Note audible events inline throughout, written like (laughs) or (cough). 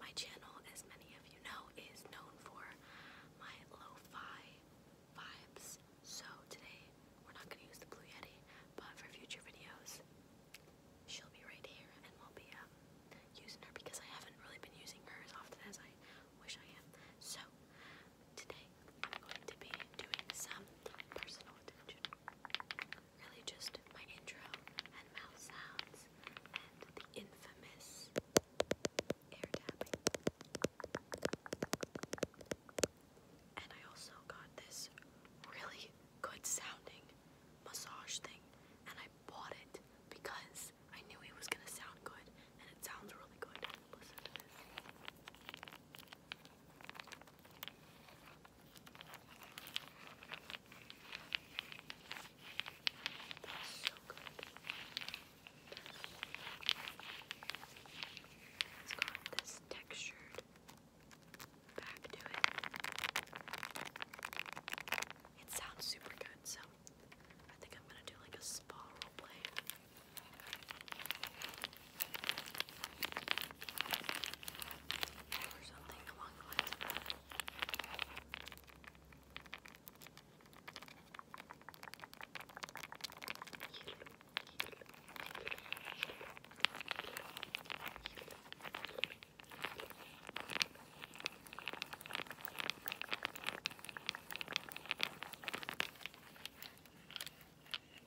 My channel, as many of you know, is known for my lo-fi vibes. So today we're not going to use the Blue Yeti, but for future videos, she'll be right here and we'll be um, using her because I haven't really been using her as often as I wish I am. So today I'm going to be doing some personal attention really just my intro and mouth sounds and the infamous air tapping. And I also got this really good sounding massage thing and I bought it because I knew it was gonna sound good and it sounds really good. Listen to this. That's so good. It's got this textured back to it. It sounds super good, so I think I'm gonna do like a spa role or something along the lines of that. Yellow,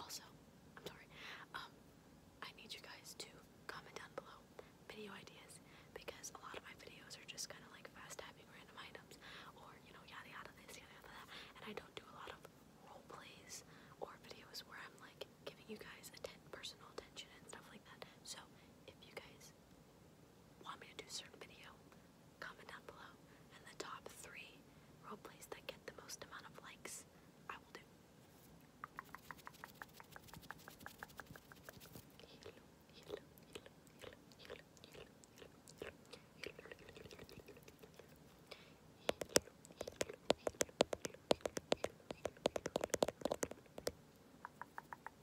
Also, I'm sorry. Um, I need you guys to comment down below video ideas because a lot of my videos are just kind of like fast tapping random items or you know yada yada this yada yada that, and I don't do a lot of role plays or videos where I'm like giving you guys atten personal attention and stuff like that. So if you guys want me to do a certain video, comment down below, and the top three roleplays that get the most amount of likes, I will do.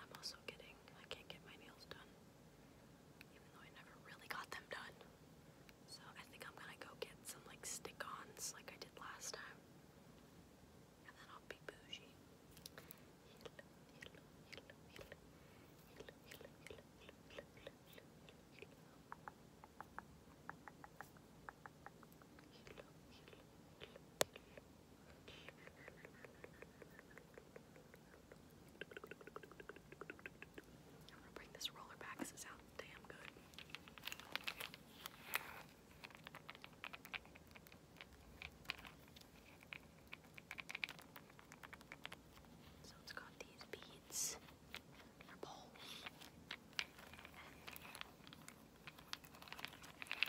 I'm also getting, I can't get my nails done, even though I never really got them done. So I think I'm gonna go get some like stick ons like I did last time, and then I'll be bougie. I'm gonna bring this roller back because sounds damn good. So got these beads in a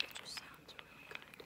It just sounds really good.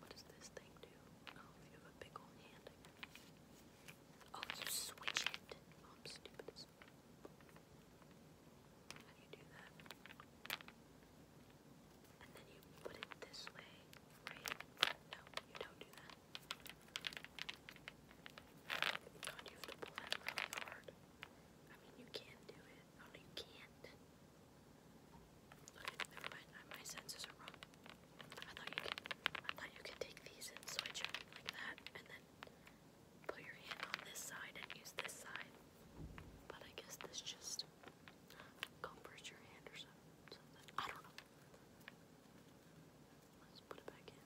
What does this thing do? Oh, you have a big old hand. Oh, you switch it. Oh, I'm stupid. How you do that? And then you put it this way, right? No, you don't do that. God, you have to pull that really hard. I mean, you can do it. Oh, no, you can't. My senses are wrong. I thought you could. I thought you could take these and switch them like that, and then put your hand on this side and use this side. But I guess this just covers your hand or something. I don't know. Let's put it back in.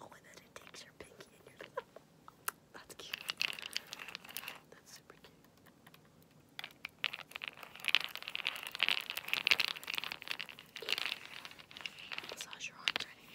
Oh, and then it takes your pinky and your (laughs) That's cute. That's super cute. Massage your arms ready.